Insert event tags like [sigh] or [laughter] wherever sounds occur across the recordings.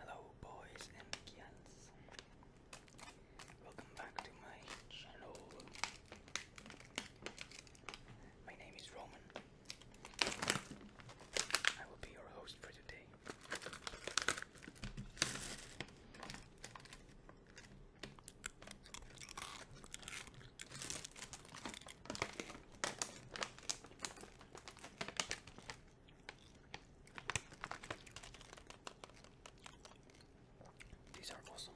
Hello, boys and girls. Welcome back to my channel. My name is Roman. I will be your host for today. These are awesome.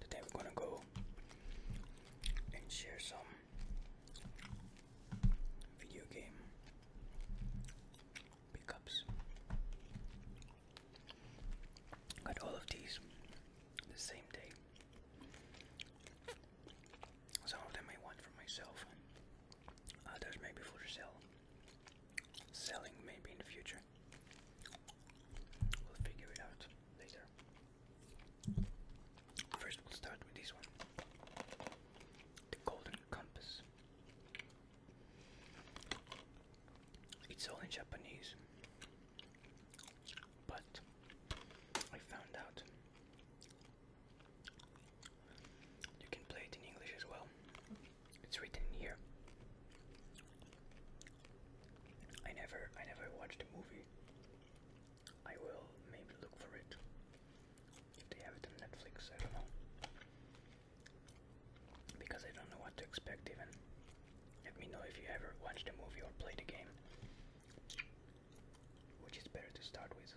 Today we're gonna go and share some video game pickups. Got all of these the same day. Some of them I want for myself, others maybe for sale. Selling maybe in the future. We'll figure it out later. First, we'll start with this one the Golden Compass. It's all in Japanese, but I found out you can play it in English as well. It's written here I never I never watched a movie. I will maybe look for it. they have it on Netflix, I don't know. Because I don't know what to expect even. Let me know if you ever watched a movie or played a game. Which is better to start with.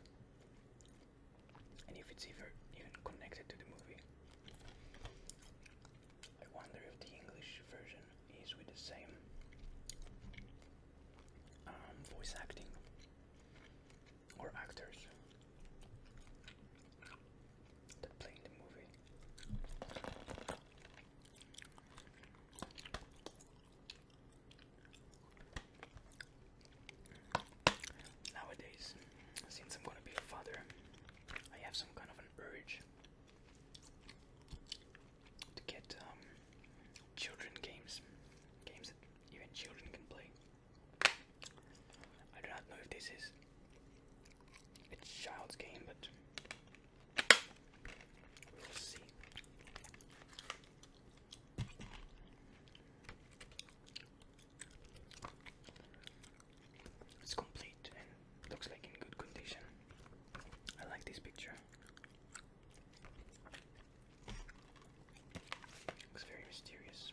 And if it's even even connected to the movie. I wonder if the English version is with the same um, voice acting or actors that play the movie. Nowadays, since I'm gonna be a father, I have some kind of an urge to get um, children games, games that even children can play. I do not know if this is a child's game, but we'll see. It's complete looks like in good condition. I like this picture. Looks very mysterious.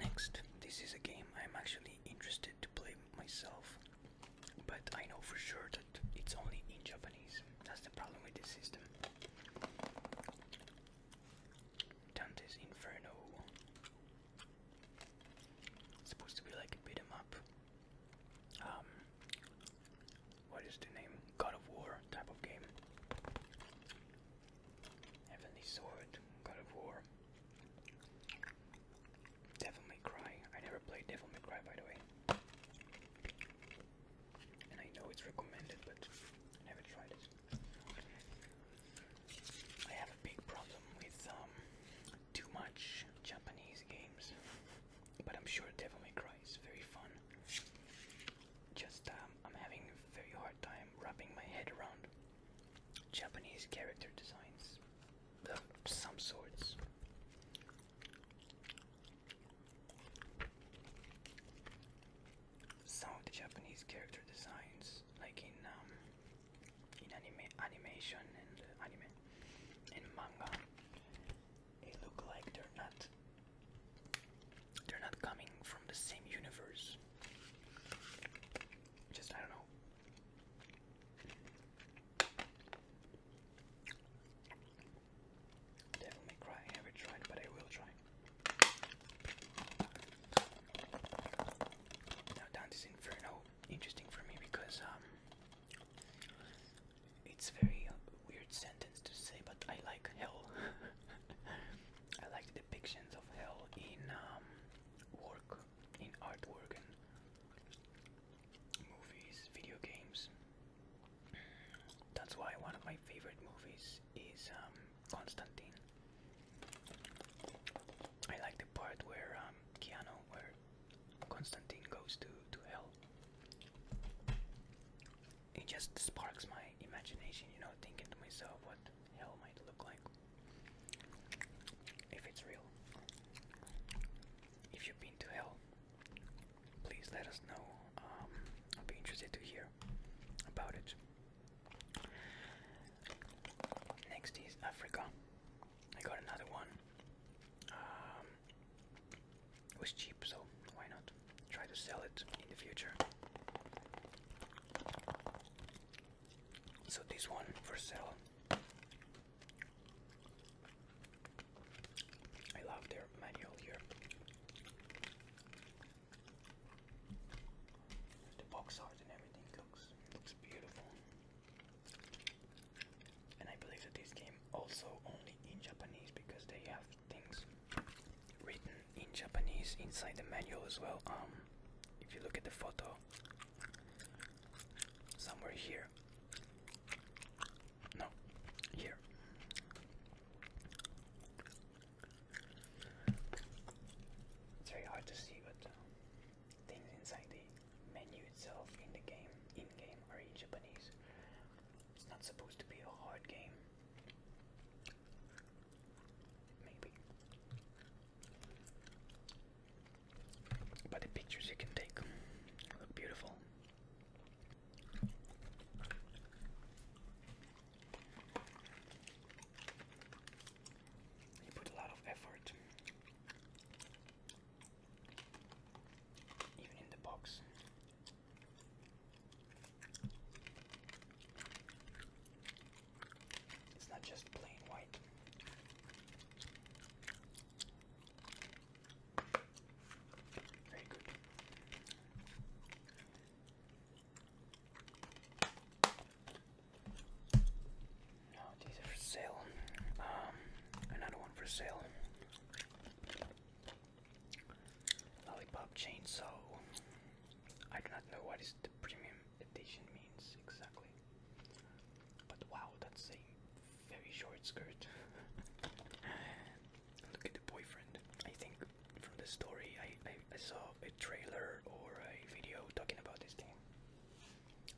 Next, this is a game I'm actually interested to play myself but I know for sure that it's only in Japanese. That's the problem with this system. Dante's Inferno. supposed to be like a beat 'em up. Um, what is the name? God of War type of game. Heavenly Sword, God of War. Devil May Cry. I never played Devil May Cry, by the way. And I know it's recommended, but I never tried it. I have a big problem with um, too much Japanese games, but I'm sure Devil May Cry is very fun. Just um, I'm having a very hard time wrapping my head around Japanese character designs some sorts. Some of the Japanese character designs, like in um, in anime, animation and anime and manga, they look like they're not they're not coming from the same universe. Just I don't know. Devil Cry, I tried, but I will try. Now Dante's Inferno, interesting for me because um, it's very weird sentence to say, but I like hell. [laughs] I like the depictions of hell in um, work, in artwork, and movies, video games. That's why one of my favorite movies is um, Constantine. I like the part where um, Keanu, where Constantine goes to, to hell. It just sparks my imagination, you know, thinking to myself what hell might look like if it's real if you've been to hell, please let us know. Um, I'll be interested to hear about it. Next is Africa. I got another one. Um, it was cheap, so why not try to sell it in the future? So this one for sale I love their manual here. The box art and everything looks looks beautiful. And I believe that this game also only in Japanese because they have things written in Japanese inside the manual as well. Um if you look at the photo somewhere here no, here. It's very hard to see, but um, things inside the menu itself in the game, in game, are in Japanese. It's not supposed to be a hard game. Maybe by the pictures you can take. They look beautiful. You put a lot of effort, even in the box. It's not just plain white. Very these are for sale. Um, another one for sale. Lollipop chainsaw. I do not know what is the premium edition means exactly. But wow, that's a very short skirt. [laughs] Look at the boyfriend. I think from the story I, I, saw a trailer or a video talking about this game.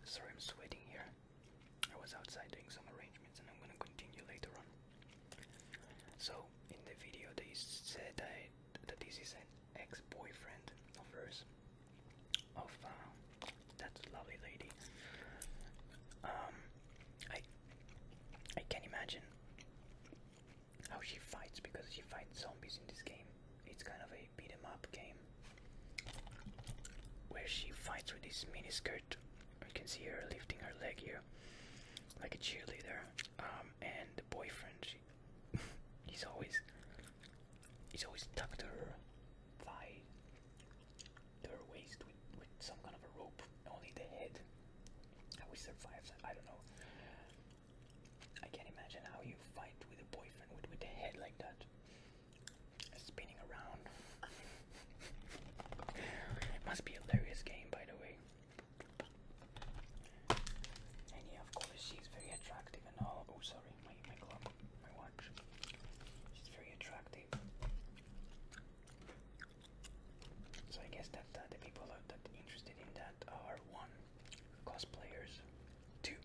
Sorry, I'm sweating here. I was outside doing some arrangements and I'm gonna continue later on. So, in the video, they said that, that this is an ex boyfriend of hers of oh, uh, that lovely lady. Um, I I can imagine how she fights because she fights zombies in this game. It's kind of a beat 'em up game where she fights with this mini skirt. You can see her lifting her leg here, like a cheerleader. Um, and the boyfriend, she, [laughs] he's always he's always tucked to her thigh to waist with, with some kind of a rope. Only the head. How he survives, I don't know. I can't imagine how you fight with a boyfriend with, with the head like that. Spinning around. [laughs] must be a hilarious game, by the way. And yeah, of course, she's very attractive and all. Oh, sorry, my, my glove, my watch much. She's very attractive. So I guess that the people that are interested in that are one, cosplayers, two,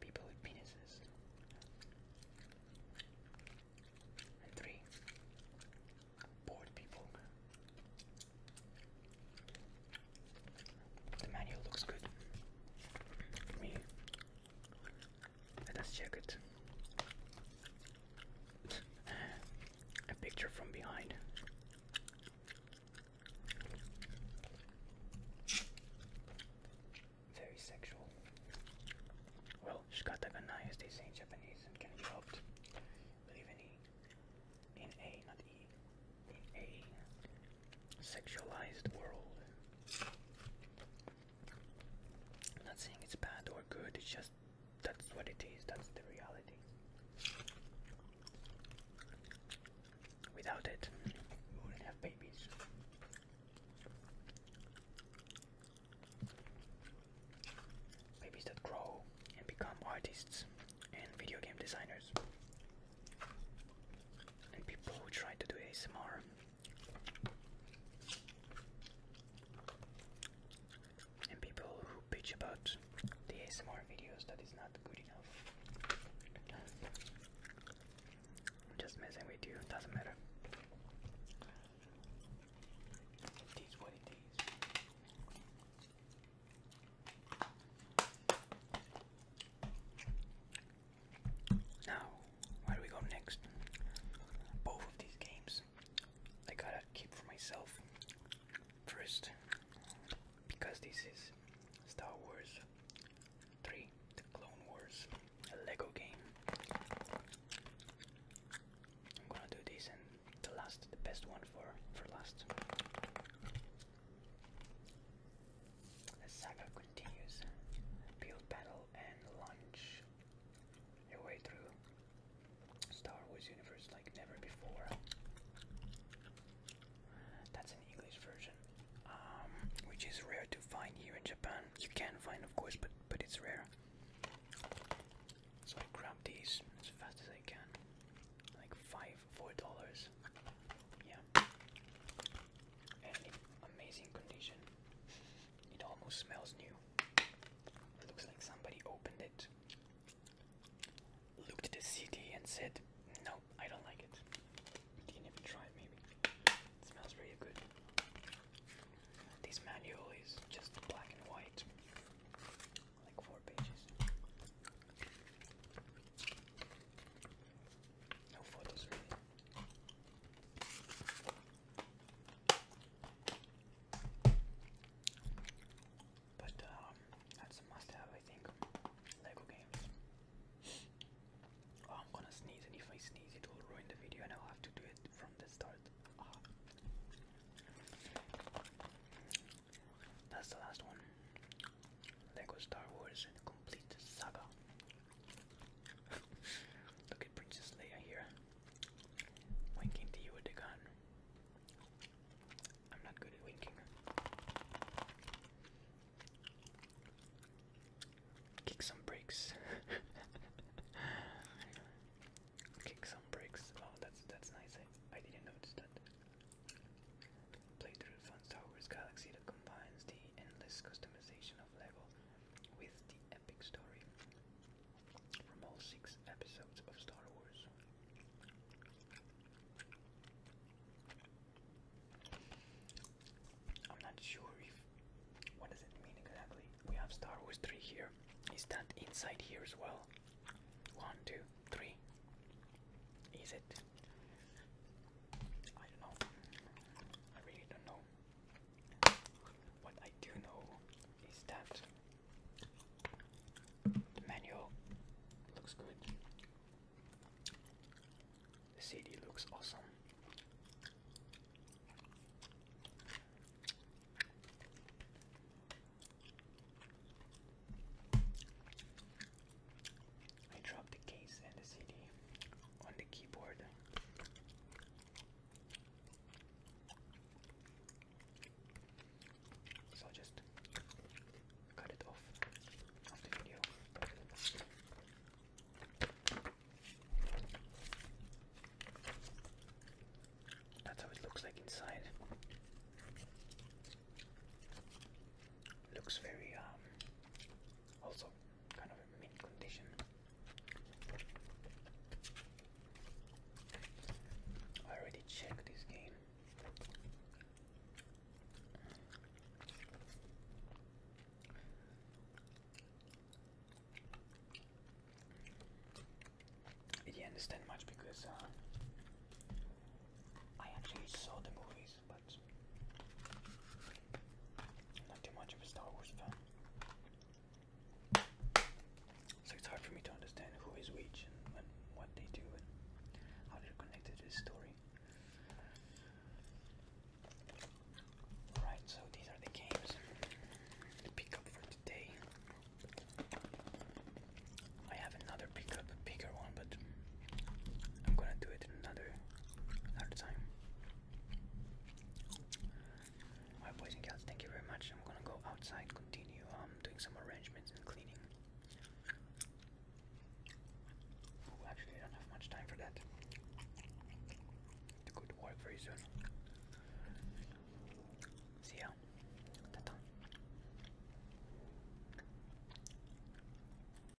people with penises, and three, bored people. The manual looks good. Me, let us check it. [laughs] A picture from behind. Very sexual. Well, shikatagana as they say in Japanese can be helped. Believe in E. In A, not E. In A. Sexualized world not saying it's bad or good, it's just that's what it is, that's the reality. Without it, we wouldn't have babies. Babies that grow and become artists and video game designers. And people who try to do ASMR and people who bitch about the ASMR videos that is not good enough. just messing with you, doesn't matter. It is what it is. Now, where do we go next? Both of these games I gotta keep for myself first because this is Star Wars The Clone Wars, a Lego game. I'm gonna do this and the last, the best one for, for last. The saga continues. Build, battle, and launch your way through Star Wars universe like never before. That's an English version, um, which is rare to find here in Japan. You can find, of course, but but it's rare. So I grab these as fast as I can, like five, four dollars. Yeah and in amazing condition. It almost smells new. It looks like somebody opened it, looked at the CD, and said, No, I don't like it. Didn't even try it, maybe. It smells really good. This manual is just black and white, like four pages. But um, that's a must-have, I think. Lego games. Oh, I'm gonna sneeze, and if I sneeze, it will ruin the video, and I'll have to do it from the start. Ah. That's the last one. Lego Star Wars Complete Saga. Look at Princess Leia here, winking to you with the gun. I'm not good at winking. Kick some bricks. [laughs] Kick some bricks. Wow, oh, that's that's nice. I didn't notice that. Playthrough of Star Wars Galaxy that combines the endless customization of Lego with the epic story from all six episodes of Star Wars. I'm not sure if what does it mean exactly. We have Star Wars 3 here. Is that inside here as well? One, two, three. Is it? I don't know. I really don't know. What I do know is that the manual looks good. The CD looks awesome. I dropped the case and the CD on the keyboard. So just cut it off of the video. That's how it looks like inside. Looks very um also kind of a condition. I already checked this game. didn't understand much because uh, I actually saw the movies movies, but not too much of a Star Wars fan. So it's hard for me to understand who is which and, what they do and how they're connected to the story. Alright, so these are the games pick up for today. I have another pickup, a bigger one, but I'm gonna do it another another time. Alright boys and girls, thank you very much. I'm gonna go outside, continue um, doing some arrangements and cleaning. actually I don't have much time for that. To go work very soon. See ya. ta